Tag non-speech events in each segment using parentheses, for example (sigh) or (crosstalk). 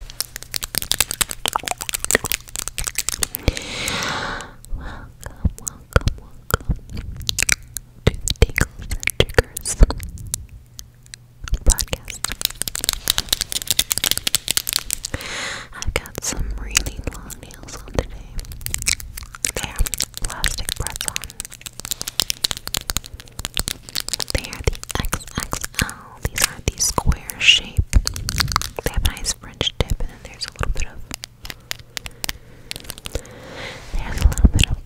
Welcome, welcome, welcome to the Tingles and podcast. I've got some really long nails on today. They plastic press on. They are the XXL these are these square shape. They have a nice French tip, and then there's a little bit of there's a little bit of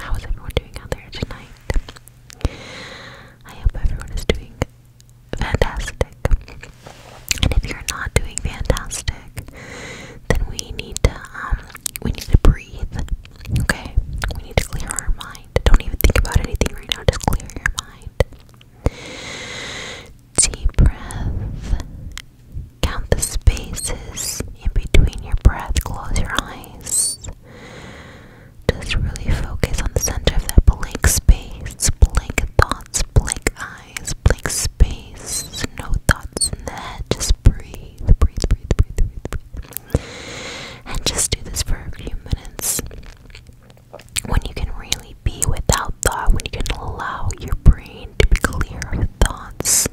How is everyone doing out there tonight? I hope everyone is doing fantastic. And if you're not doing fantastic, then we need to um we need to breathe. Okay? We need to clear our mind. Don't even think about anything right now, just clear your mind. Deep breath. Count the spaces in between your breath. Close your eyes. Just really focus on the center of that blank space, blank thoughts, blank eyes, blank space, no thoughts in the head. Just breathe, breathe, breathe, breathe, breathe, And just do this for a few minutes. When you can really be without thought, when you can allow your brain to be clear of thoughts,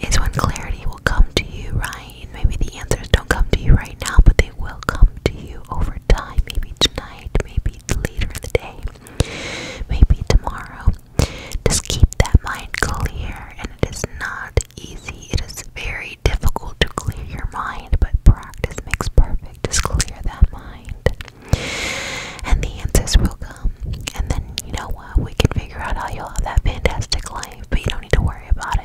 is when clarity will come to you, Ryan. Maybe the answers don't come to you right now, but they will come to you over time time, maybe tonight, maybe later in the day, maybe tomorrow. Just keep that mind clear, and it is not easy. It is very difficult to clear your mind, but practice makes perfect. Just clear that mind. And the answers will come. And then, you know what? We can figure out how you'll have that fantastic life, but you don't need to worry about it. You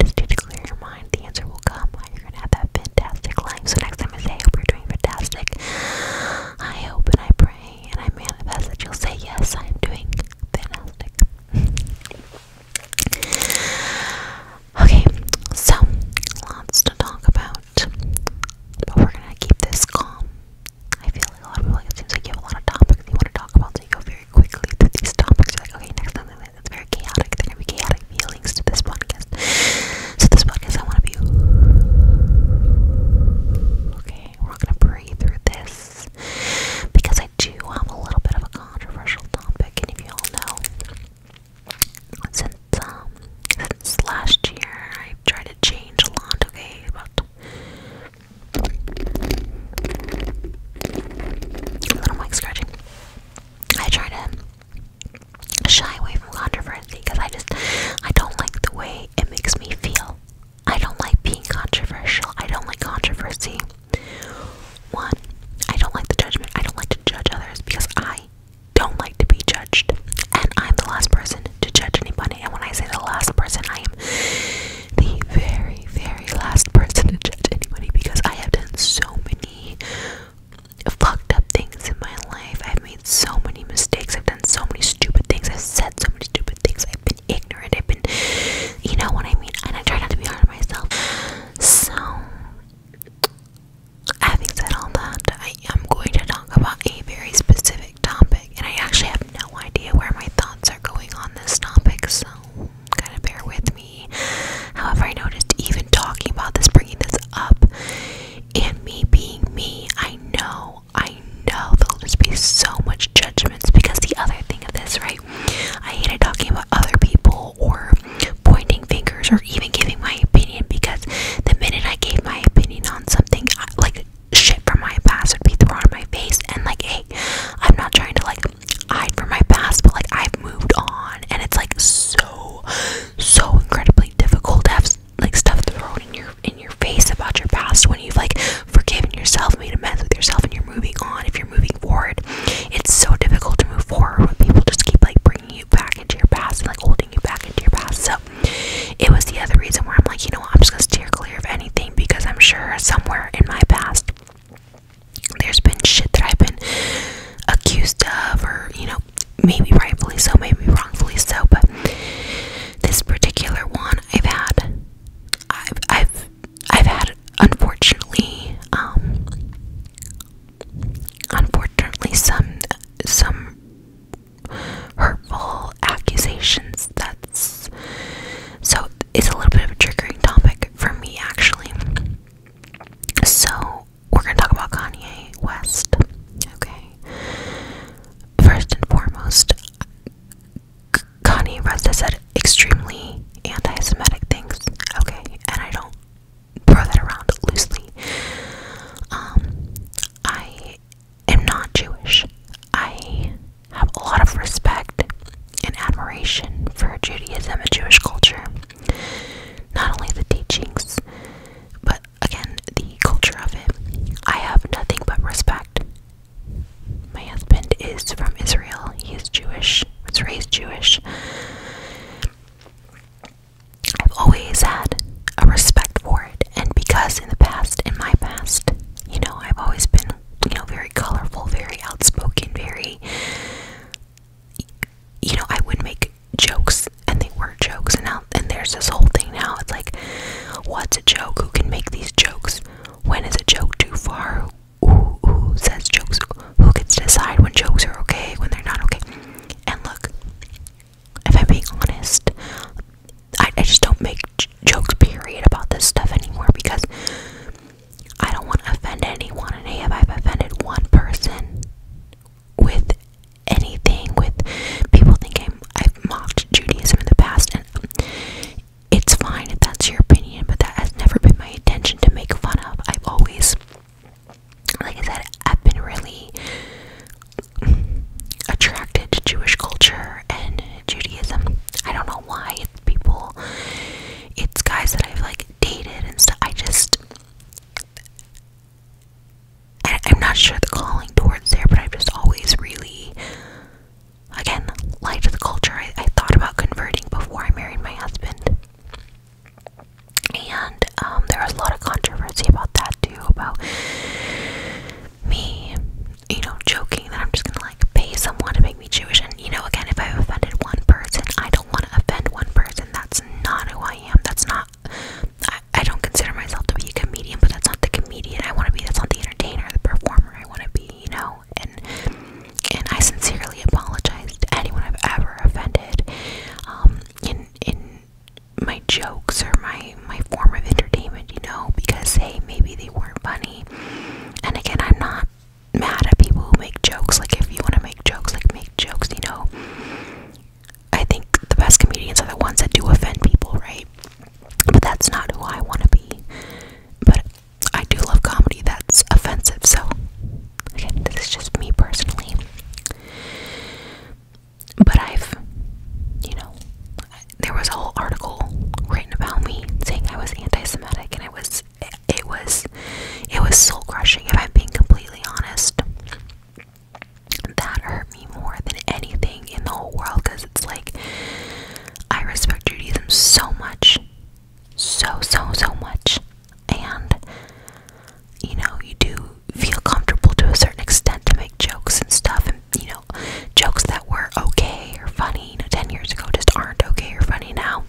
just need to clear your mind. The answer will come. You're gonna have that fantastic life. So next time I say, I hope you're doing fantastic. I hope and I pray and I manifest that you'll say yes. I am doing fantastic. okay, so lots to talk about, but we're gonna keep this calm. I feel like a lot of people. Like, it seems a lot of topics you want to talk about, so you go very quickly through these topics. like, okay, next time. That's very chaotic. There are going to be chaotic feelings to this podcast. So this podcast, I want to be okay. We're not going to breathe through this because I do have a little bit of a controversial topic, and if you all know, since um since last year, I tried to change a lot. Okay, about little mic scratching. I try to shy away from controversy because I just I don't like the way it makes me feel. I don't like being controversial. I don't like controversy. One, I don't like the judgment. I don't like to judge others because I don't like to be judged. And I'm the last person to judge anybody. And when I say the last person, I am the very, very last person to judge anybody because I have done so many fucked up things in my life. I've made so many mistakes. I've done so many stupid things. I've said so many stupid things. I've been ignorant. I've been, you know what I mean? And I try not to be hard on myself. So, having said all that, I am going to talk about a very specific topic. And I actually have no idea where my thoughts are going on this topic. So, kind of bear with me. However, I noticed even talking about this, bringing this up, and me being me, I know, I know there'll just be so much judgments because the other thing of this, right? I hated talking about other people or pointing fingers or even giving my opinion because the minute I gave my opinion on something, like shit from my past would be thrown in my face and like hey i'm not trying to like hide from my past, but like I've moved on, and it's like so, so incredibly difficult to have like stuff thrown in your in your face about your past when you've like forgiven yourself, made a mess with yourself, and you're moving on. If you're moving forward, it's so difficult to move forward when people just keep like bringing you back into your past and like holding you back into your past. So it was the other reason where I'm like, you know, I'm just gonna steer clear of anything because I'm sure somewhere in my past there's been shit that I've been accused of, or you know, maybe rightfully so, maybe wrongfully so, but this particular one I've had, I've, I've, I've had, unfortunately, um, unfortunately, some, some hurtful accusations. That's so. It's a little bit of a triggering topic for me, actually. So, we're going to talk about Kanye West. Okay. First and foremost, Kanye West has said extremely anti Semitic things. Okay. And I don't throw that around loosely. Um, I am not Jewish. I have a lot of respect and admiration for Judaism and Jewish culture. Not only the teachings, but again, the culture of it. I have nothing but respect. My husband is from Israel. He is Jewish, was raised Jewish. I've always had a respect for it, and because in the past, in my past, you know, I've always been, you know, very colorful, very outspoken, very you know, I would make jokes and they were jokes and now and there's this whole thing now. It's like what's a joke? Who can make these jokes? When is a joke too far? Who, says jokes? Who gets to decide when jokes are okay, when they're not okay? And look, if I'm being honest, I, just don't make jokes, period, about this stuff anymore because I don't want to offend anyone, and if I've offended one person with anything, with people thinking I've mocked Judaism in the past, and it's fine if that's your opinion, but that has never been my intention to make fun of. I've always, like I said, I've been really attracted to Jewish culture and Judaism. I don't know why. people, it's guys that I've like dated and stuff. I just I, am not sure the calling towards there, but i am just always really again liked the culture. I, thought about converting before I married my husband. And um, there was a lot of controversy about that too, about me, you know, joking that I'm just gonna like pay someone to make Jewish. And you know, again, if I've offended one person, I don't want to offend one person. That's not who I am. That's not. I, I don't consider myself to be a comedian, but that's not the comedian I want to be. That's not the entertainer, the performer I want to be. You know, and and I sincerely apologize to anyone I've ever offended. Um, in in my jokes or my my form of entertainment, you know, because hey, maybe they weren't funny. And again, I'm not mad at people who make jokes. Like, if you want to make jokes, like, make jokes, you know. I think the best comedians are the ones that do offend people, right? But that's not who I want to be. But I do love comedy that's offensive, so again, this is just me personally. But I've, you know, there was a whole article written about me saying I was anti Semitic and I was it, was it was soul crushing if I'm being completely honest. That hurt me more than anything in the whole world because it's like I respect Judaism so much. So so so much. And you know, you do feel comfortable to a certain extent to make jokes and stuff and you know, jokes that were okay or funny, ten years ago just aren't okay or funny now.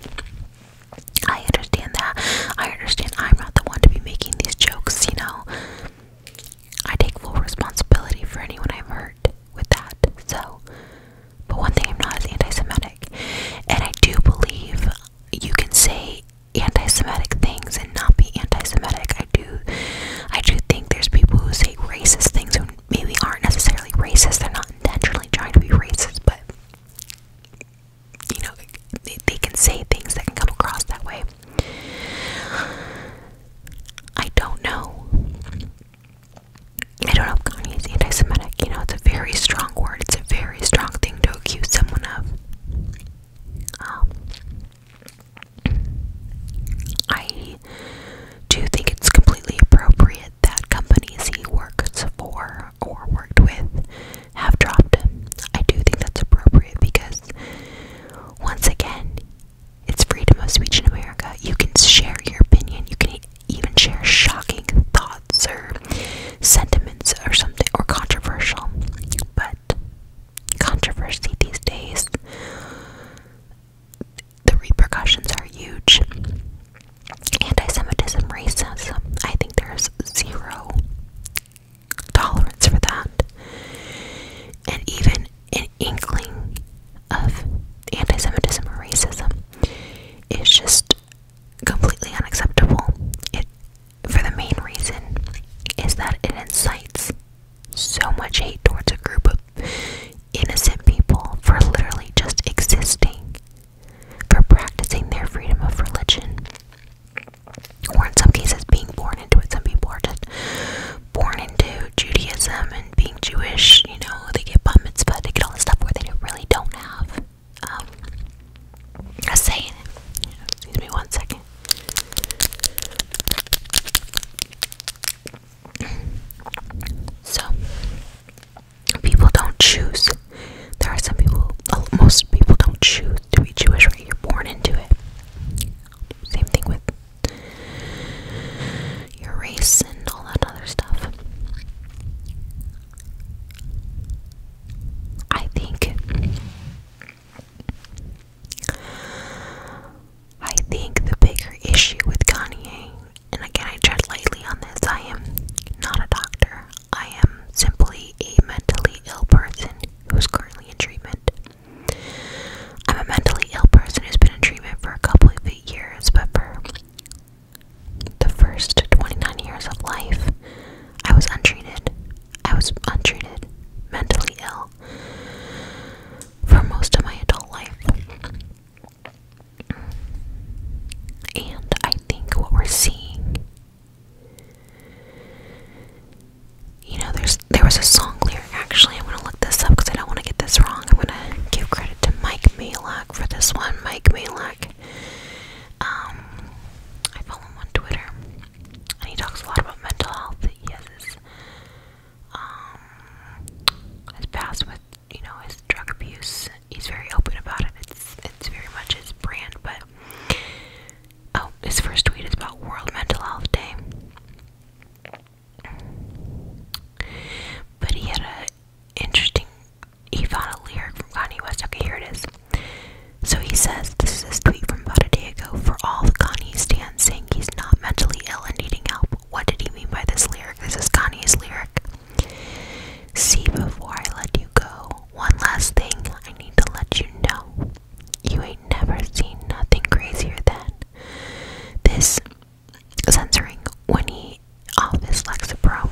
I understand that. I understand I'm not the one to be making these jokes, you know. I take full responsibility for anyone I've hurt with that. So, but one thing I'm not is anti Semitic. And I do believe you can say anti Semitic things and not be anti Semitic. I do I do think there's people who say racist things who maybe aren't necessarily racist. They're not intentionally trying to be racist, but you know, they, they can say things that can come across that way. I don't know. I don't know if Kanye is anti Semitic. You know, it's a very strong word, it's a very strong thing to accuse someone of. Um, I do think it's completely appropriate that companies he works for or, worked with have dropped I do think that's appropriate because, once again, it's freedom of speech in America. You can share your opinion, you can even share shocking thoughts or sentiments or something, or controversial. But controversy these days, the repercussions are huge anti-Semitism, racism. I think there's zero tolerance for that. And even an inkling of anti-Semitism or racism is just completely unacceptable. It for the main reason is that it incites so much hate towards a group of innocent people for literally just existing for practicing their freedom of religion, or in some cases being born into it. Some people are just born into Judaism and being Jewish, you know, they get bat mitzvah, they get all this stuff where they really don't have um, a saying. in Excuse me one second. So, people don't choose. There are some people, oh, most people don't choose to be Jewish, right? You're born into it. Same thing with your race and all that other stuff. I think. I think the bigger issue with Kanye and again, I tread lightly on this. I am not a doctor, I am simply a mentally ill person who is currently in treatment. I'm a mentally ill person who's been in treatment for a couple of years, but for the first 29 years of life, I was untreated. I was untreated, mentally ill for most of my adult life. And I think what we're seeing you know there's there was a song lyric actually i want to look this up because I don't want to get this wrong. I'm gonna give credit to Mike Malak for this one. Mike Malak. Um I follow him on Twitter and he talks a lot about mental health. He um his past with you know his drug abuse. He's very open about it. It's it's very much his brand. But oh, his first tweet is about World Mental Health Day. But he had an interesting. He found a lyric from Kanye West. Okay, here it is. So he says, "This is his tweet from about a day ago." For all the Kanye stands saying he's not mentally ill and needing help. What did he mean by this lyric? This is Kanye's lyric. See, before I let you go, one last thing I need to let you know. You ain't never seen nothing crazier than this censoring when he Lexapro.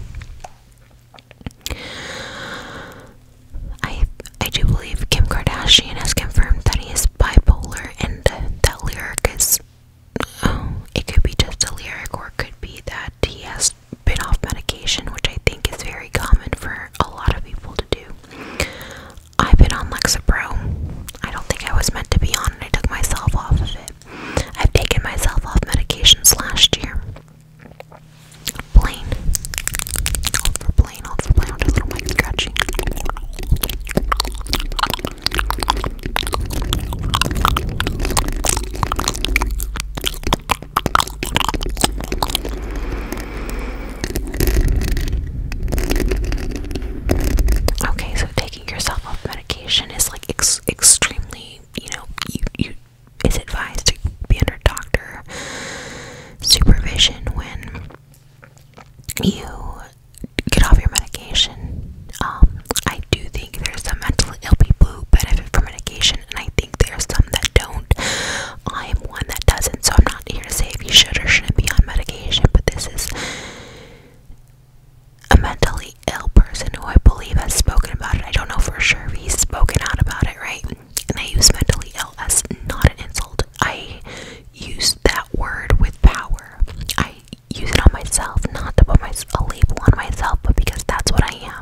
I I do believe Kim Kardashian has confirmed that he is bipolar and uh, that lyric is Oh, it could be just a lyric, or it could be that he has been off medication, which I think is very common for a lot of people to do. I've been on Lexapro. I don't think I was meant to be on it. I took myself off of it. I've taken myself off medications last year. Plain. Hold for plain, hold a little mic scratching. Okay, so taking yourself off medication is like extremely, you know, you you is advised to be under doctor supervision when you get off your medication. Um, I I do think there's some mentally ill people who benefit from medication, and I think there's some that don't. I am one that doesn't, so I'm not here to say if you should or shouldn't be on medication, but this is a mentally ill person who I believe has spoken about it. I don't know for sure if he's spoken out about it, right? And I use mentally ill as not an insult. I use that word with power. I use it on myself, not to put my, a label on myself, but because that's what I am.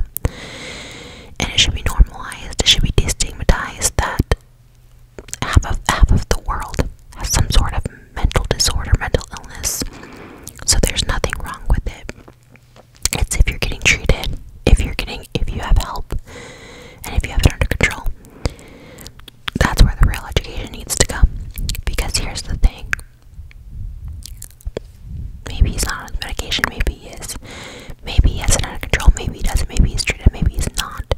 And it should be normalized, it should be destigmatized that half of, half of the world has some sort of mental disorder, mental illness. So there's nothing wrong with it. It's if you're getting treated, if you're getting, if you have help, and if you have it under control. That's where the real education needs to come. Because here's the thing Maybe he's not on medication, maybe he is. Maybe he has it under control, maybe he doesn't, maybe he's treated, maybe he's not.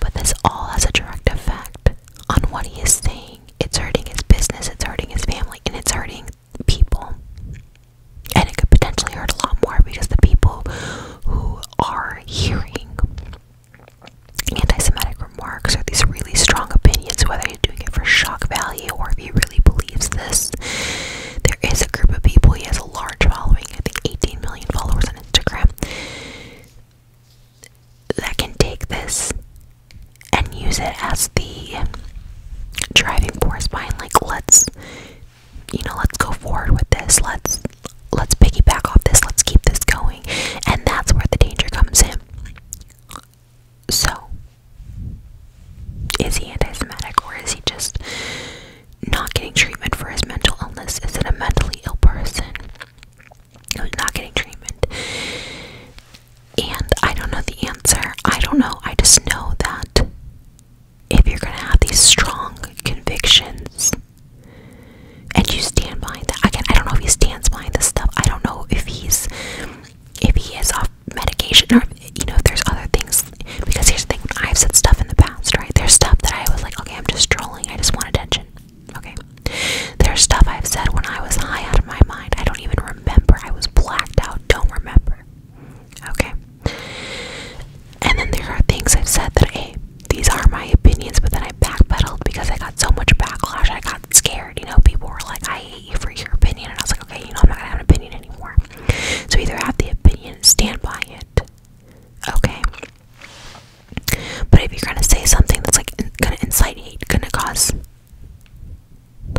But this all has a direct effect on what he is saying. It's hurting his business, it's hurting his family, and it's hurting people. And it could potentially hurt a lot more because the people who are hearing Anti-Semitic remarks are these really strong opinions, whether you're doing it for shock value or if he really believes this. There is a group of people. He has a large following. I think 18 million followers on Instagram. That can take this and use it as the driving force behind, like let's, you know, let's go forward with this. Let's let's piggyback off this. Let's keep this going. And that's where the danger comes in. So, is he anti Semitic or is he just not getting treatment for his mental illness? Is it a mentally ill person who's not getting treatment? And I don't know the answer. I don't know. I just know that if you're going to have these strong convictions and you stand behind that. Again, I don't know if he stands behind this stuff. I don't know if he's if he is off medication or you know if there's other things because here's the thing, I've said stuff in the past, right? There's stuff that I was like, okay, I'm just trolling, I just want attention. Okay. There's stuff I've said when I was high out of my mind. I don't even remember. I was blacked out, don't remember. Okay. And then there are things I've said that hey, these are my opinions, but then I backpedaled because I got so much backlash. I got scared. You know, people were like, I hate you for your opinion. And I was like, okay, you know, I'm not going to have an opinion anymore. So either have the opinion, stand by it. Okay. But if you're going to say something that's like going to incite hate, going to cause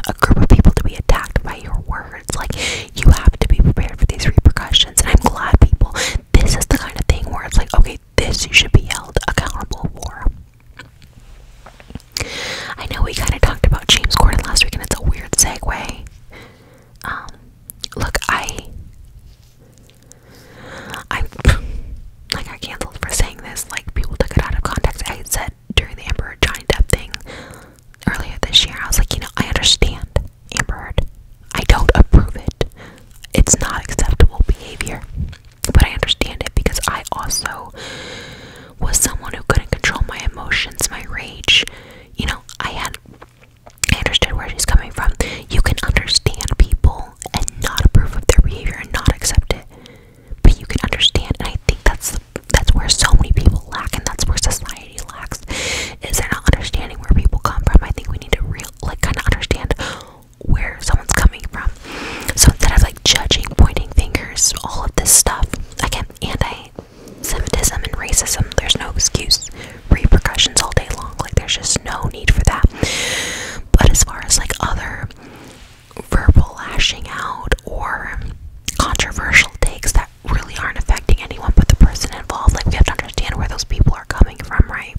a group of people to be attacked by your words, like you have to be prepared for these repercussions. And I'm glad people, this is the kind of thing where it's like, okay, this you should be held accountable for. I know we kind of talked about James Corden last week, and it's a weird segue. Um, look, I, I, (laughs) like I canceled for saying this. Like people took it out of context. I said during the Amber Heard Johnny Depp thing earlier this year, I was like, you know, I understand Amber Heard. I don't approve it. It's not acceptable behavior. But I understand it because I also was someone who couldn't control my emotions, my rage. You know, I had I understood where she's coming from. You can understand people and not approve of their behavior and not accept it. But you can understand and I think that's that's where so many people lack and that's where society lacks is they're not understanding where people come from. I think we need to real like kinda understand where someone's coming from. So instead of like judging, pointing fingers, all of this stuff, again, anti Semitism and racism, there's no excuse. Repercussions all day long. Like there's just no need for that. But as far as like other verbal lashing out or controversial takes that really aren't affecting anyone but the person involved, like we have to understand where those people are coming from, right?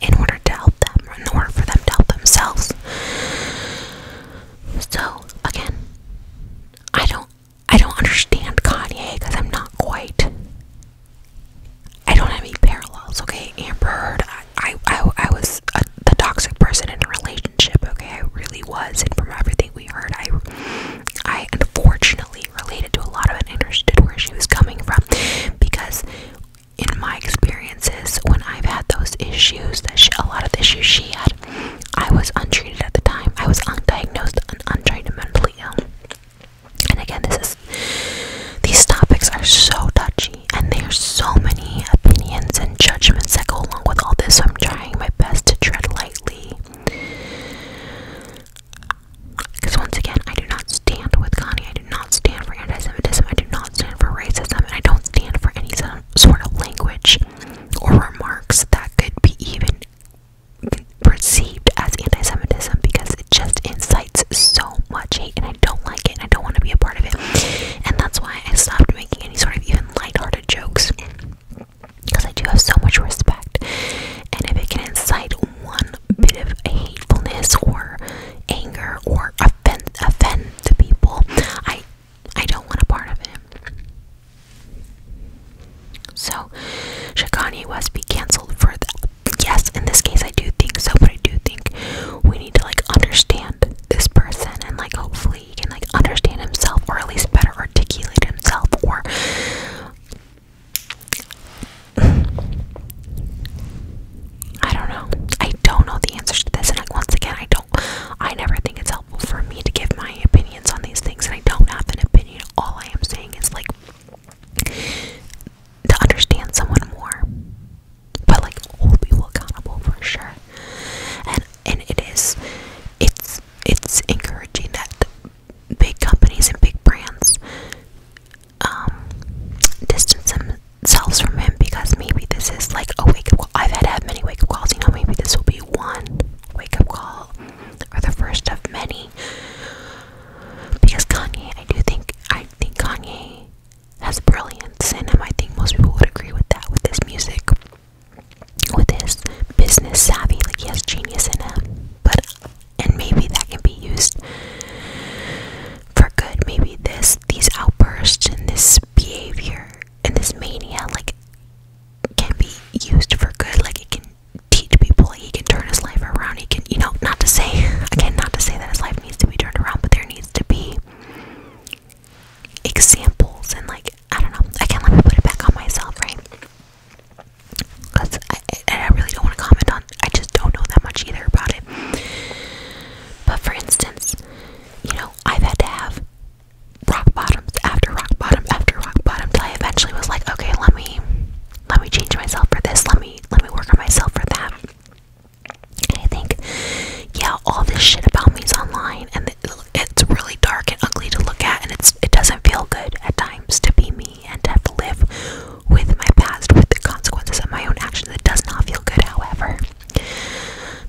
in order to help them, in order for them to help themselves. So again, I don't, I don't understand Kanye because I'm not quite. I don't have any parallels. Okay, Amber Heard. I, I, I, was a, the toxic person in a relationship. Okay, I really was, and from everything we heard, I, I unfortunately related to a lot of it and understood where she was coming from because in my experiences when I've had those issues that she, a lot of issues she had, I was untreated at the time. I was undiagnosed and untreated mentally ill. And again, this is these topics are so touchy, and there are so many opinions and judgments that go along with all this. So I'm trying my best to tread lightly. Because once again, I do not stand with Connie. I do not stand for anti Semitism. I do not stand for racism. And I don't stand for any sort of language or remarks that could be even perceived as anti Semitism because it just incites so much hate. And I don't like it. And I don't want to be a part of it. And that's why I stopped making any sort of even light-hearted jokes. Because I do have so much respect. And if it can incite one bit of hatefulness or anger or offend offend the people. I I don't want a part of it. So Shikani was be cancelled for that. Yes, in this case I do think so, but I do think we need to like understand this person and like hopefully he can like understand himself or at least better articulate himself or I don't know. I don't know the answers to this, and like once again, I don't. I never think it's helpful for me to give my opinions on these things, and I don't have an opinion. All I am saying is like to understand someone more, but like hold people accountable for sure. And and it is, it's it's encouraging that big companies and big brands um, distance themselves from him because maybe this is like a wake up call. I've had have many wake up calls, you know, maybe this will be one wake up call or the first of many. Because Kanye, I do think, I think Kanye has brilliance in him. I think most people would agree with that, with his music, with his business savvy, like he has genius in him. But and maybe that can be used for good. Maybe this these outbursts and this behavior and this mania like can be used for good. Like it can teach people, he can turn his life around. He can you know, not to say (laughs) again, not to say that his life needs to be turned around, but there needs to be examples and like I don't know. I can't let me put it back on myself, right? Because I really don't want to comment on. I just don't know that much either about it. But for instance, you know, I've had to have rock bottoms after rock bottom after rock bottom till I eventually was like, okay, let me let me change myself for this. Let me let me work on myself for that. I think, yeah, all this shit about me is online, and it's really dark and ugly to look at, and it's it doesn't feel good at times to be me and have to live with my past with the consequences of my own actions. That does not feel good, however.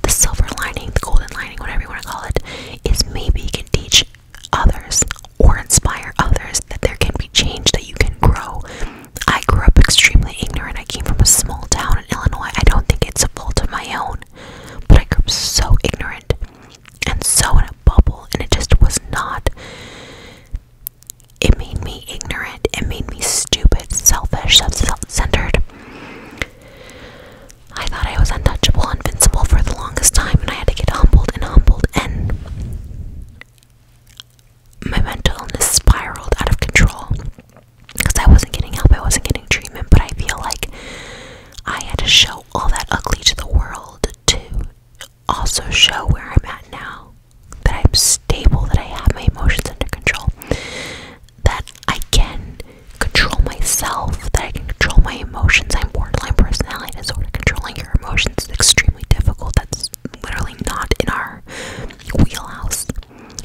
The silver lining, the golden lining, whatever you want to call it, is maybe you can teach others or inspire others that there can be change, that you can grow. I grew up extremely ignorant. I came from a small town in Illinois. I don't think it's a fault of my own, but I grew up so ignorant and so in a bubble, and it just was not it made me ignorant. It made me stupid, selfish, self centered. I thought I was untouchable, invincible for the longest time, and I had to get humbled and humbled, and my mental illness spiraled out of control because I wasn't getting help, I wasn't getting treatment, but I feel like I had to show all that ugly to the world too also show where I'm at now that I'm stable, that I have my emotions under control, that I can control myself, that I can control my emotions. I'm borderline personality disorder. Controlling your emotions is extremely difficult. That's literally not in our wheelhouse.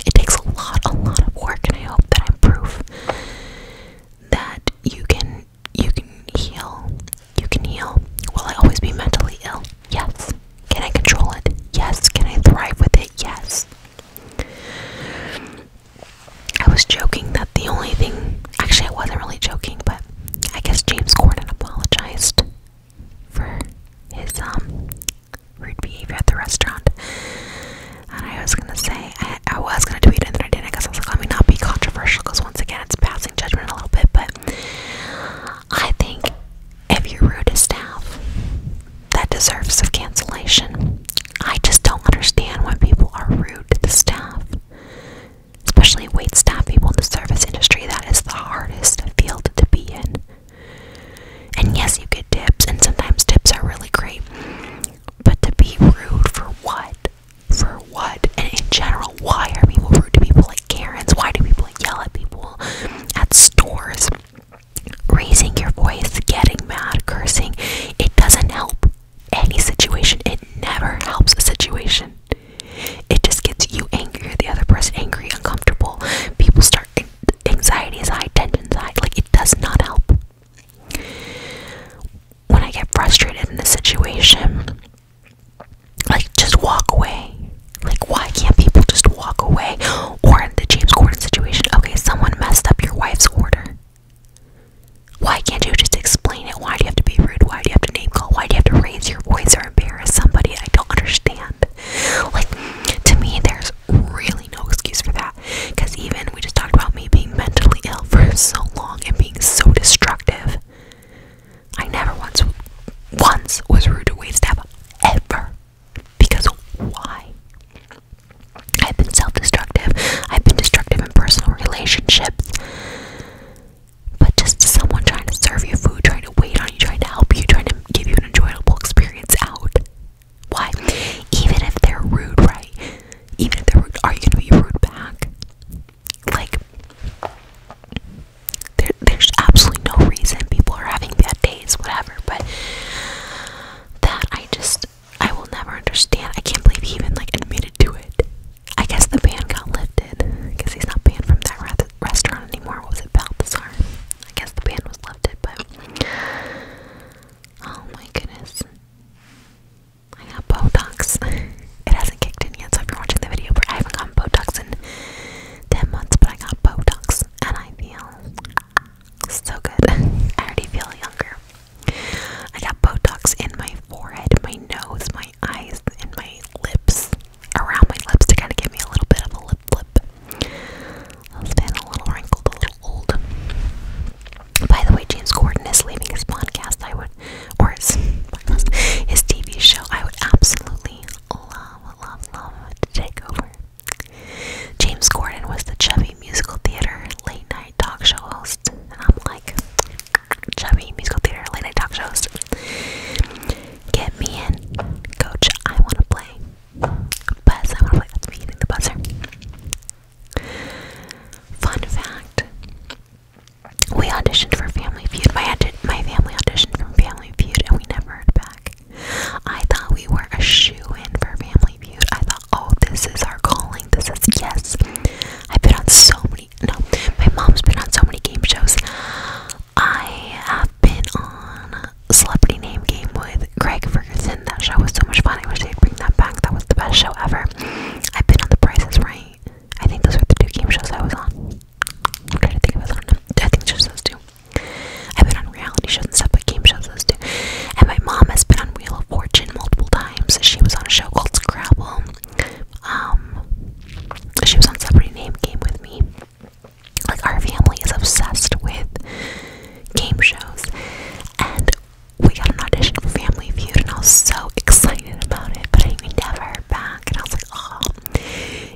It takes a lot, a lot of work, and I hope that I'm proof that you can you can heal you can heal. Will I always be mentally ill? Yes. Can I control it? Yes. Can I thrive with it? Yes. I was joking that the only thing. Actually, I wasn't really joking, but I guess James Corden apologized for his um rude behavior at the restaurant. And I was gonna say, I, was gonna tweet it and I didn't because I was like, let me not be controversial because once again it's passing judgment a little bit, but I think if you're rude to staff, that deserves of cancellation. I just don't understand why people are rude to the staff, especially wait staff people in the service industry. That is the hardest field to be in. And yes, you get tips, and sometimes tips are really great. But to be rude for what? For what? And in general, why are people rude to people like Karens? Why do people yell at people at stores? Raising your voice, getting mad, cursing, it doesn't help any situation. It never helps a situation. It just gets you angry, the other person angry, uncomfortable. People start anxiety is high, tension high. Like it does not help. When I get frustrated in a situation, like, just walk away. Like, why can't people just walk away? Or in the James Corden situation, okay, someone messed up your wife's order. Why can't you just explain it? Why do you have to be rude? Why do you have to name call? Why do you have to raise your voice or embarrass somebody? I don't understand. Like, to me, there's really no excuse for that. Because even we just talked about me being mentally ill for so long and being so destructive. I never once once was rude to waitstaff ever. Because why? I've been self-destructive. I've been destructive in personal relationships. But just someone trying to serve you food, trying to wait on you, trying to help you, trying to give you an enjoyable experience out. Why? Even if they're rude, right? Even if they're rude, are you gonna be rude back? Like, there, there's absolutely no reason people are having bad days, whatever, but that I just, I will never understand. I can't believe he even, like, admitted to it. I guess the ban got lifted, because he's not banned from that restaurant anymore. What was it, Balthazar? I guess the ban was lifted, but, oh my goodness. I got Botox. (laughs) it hasn't kicked in yet, so if you're watching the video, but I haven't gotten Botox in 10 months, but I got Botox and I feel so good. (laughs) I already feel younger. I got Botox in my forehead, my nose, my eyes, and my lips, around my lips to kind of give me a little bit of a lip flip. I've been a little wrinkled, a little old. By the way, James Corden is leaving his podcast. I would or his TV show, I would absolutely love, love, love to take over. James Gordon was the chubby musical theater late night talk show host, and I'm like, chubby musical theater late night talk shows, Get me in, coach. I want to play. Buzz, I want to play. That's the buzzer. Fun fact we auditioned for Family Feud. My, my family auditioned for Family Feud and we never heard back. I thought we were a shoe in for Family Feud. I thought, oh, this is our calling. This is yes. I've been on so many, no, my mom's been on so many game shows. I have been on Celebrity Name Game with Craig Ferguson. That show was so much fun. I wish they'd bring that back. That was the best show ever. I've been on The Price is Right. I think those were the two game shows I was on. I'm trying to think of other I think she says too. I've been on reality shows and stuff, but game shows too. And my mom has been on Wheel of Fortune multiple times. She was on a show called Scrabble. Um, she was on Celebrity Name Game with me. Like our family is obsessed with game shows, and we got an audition for Family Feud, and I was so (laughs) excited about it. But I never back, at all.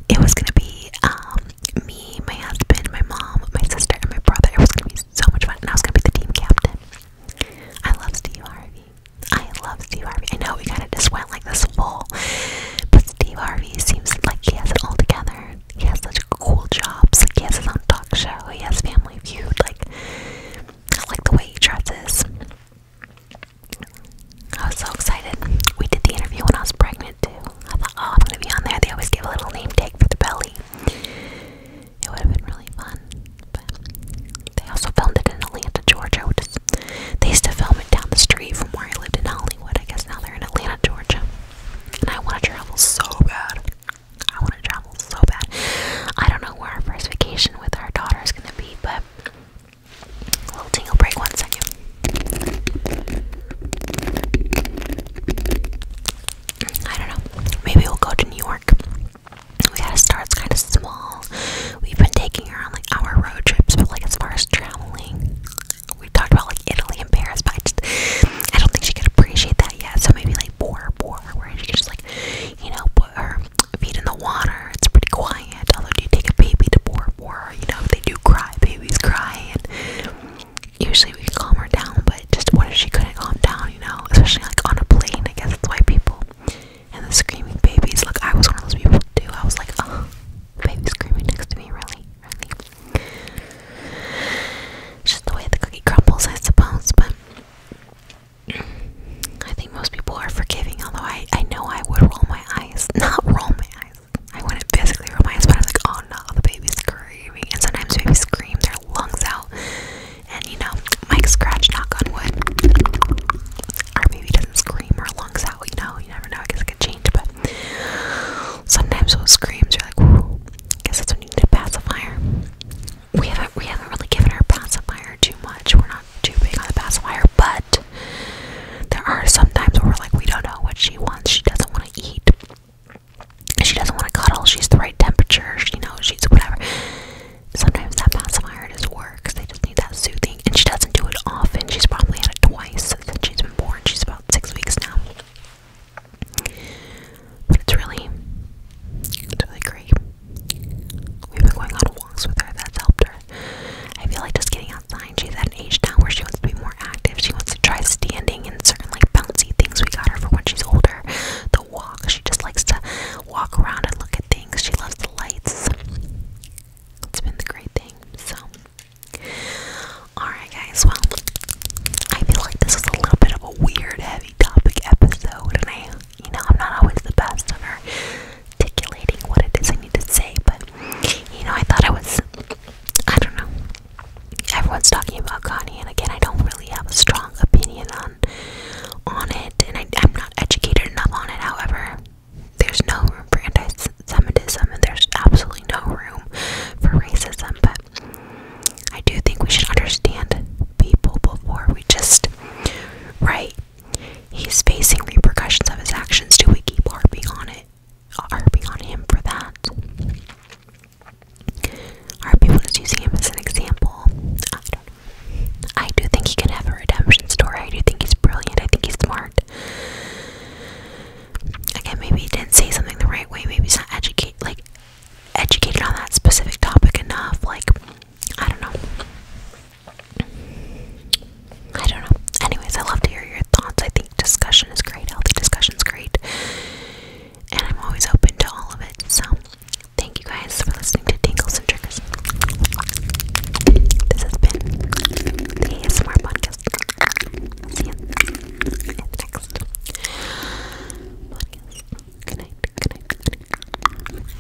It was gonna be um, me, my husband, my mom, my sister, and my brother. It was gonna be so much fun, and I was gonna be the team captain. I love Steve Harvey. I love Steve Harvey. I know we kind of just went like this wall, but Steve Harvey seems like he has it all together. He has such cool jobs. He has his own talk show. He has Family Feud. Like, I like the way he dresses. I was so excited. We did the interview when I was pregnant too. I thought, oh, I'm gonna be on there. They always give a little name tag for the belly. It would have been really fun. But they also filmed it in Atlanta, Georgia, which is they used to film it down the street from where I lived in Hollywood. I guess now they're in Atlanta, Georgia. And I wanna travel so bad. I wanna travel so bad. I don't know where our first vacation with our daughter is gonna be, but little tingle break, one second. I don't know. Maybe we'll go to New York. We gotta start. kind of small. We've been taking her on like our road trips, but like as far as traveling, we talked about like Italy and Paris, but I just I don't think she could appreciate that yet. So maybe like Bora Bora, where you could just like you know put her feet in the water. It's pretty quiet. Although, do you take a baby to Bora Bora? You know, they do cry. Babies cry, and usually we can calm her down. But just what if she couldn't calm down? You know, especially like on a plane. I guess that's people and the screaming babies. Look, I was one of those people too. I was like, oh, baby screaming next to me, really, really. just the way the cookie crumbles, I suppose. But I think most people are forgiving, although I, I know I would roll my eyes. (laughs) Not roll my eyes. I wouldn't physically roll my eyes, but I was like, oh no, the baby's screaming. And sometimes babies scream their lungs out. And you know, Mike scratch, knock on wood. Our baby doesn't scream or lungs out. You know, you never know. I guess it could change, but sometimes those screams, you're like, Whoa. I guess that's when you need a pacifier. We haven't, we haven't really given our pacifier too much. We're not too big on the pacifier, but there are some times where we're like, we don't know what she wants. She doesn't want to eat. She doesn't want to cuddle. She's the right temperature. She knows she's whatever. Sometimes that pacifier just works. They just need that soothing, and she doesn't do it often. She's probably had it twice since she's been born. She's about six weeks now. But it's really, really great. We've been going on walks with her, that's helped her. I feel like just getting outside, she's at an age now where she wants to be more active. She wants to try standing and certain like bouncy things we got her for when she's older. The walk, she just likes to walk around and look at things. She loves the lights. It's been the great thing. So Alright guys, well I feel like this is a little bit of a weird heavy topic episode you know, I'm not always the best at articulating what it is I need to say, but you know, I thought I was. I don't know. Everyone's talking about Kanye, and again, I don't really have a strong opinion on on it, and I, am not educated enough on it. However, there's no room for anti and there's absolutely no room for racism. But I do think we should understand people before we just write He's facing repercussions of his actions. Do we keep harping on it? Harping on him for that? Are people just using him as an example? I don't know. I do think he can have a redemption story. I do think he's brilliant. I think he's smart. Again, maybe he didn't say something the right way. Maybe he's not educate like educated on that specific topic enough. Like I don't know. I don't know. Anyways, I love to hear your thoughts. I think discussion is great. Healthy discussion is great. And I'm always open to all of it. So, thank you guys for listening to Tingles and Triggers. This has been the ASMR podcast. See you next Good night. Good night.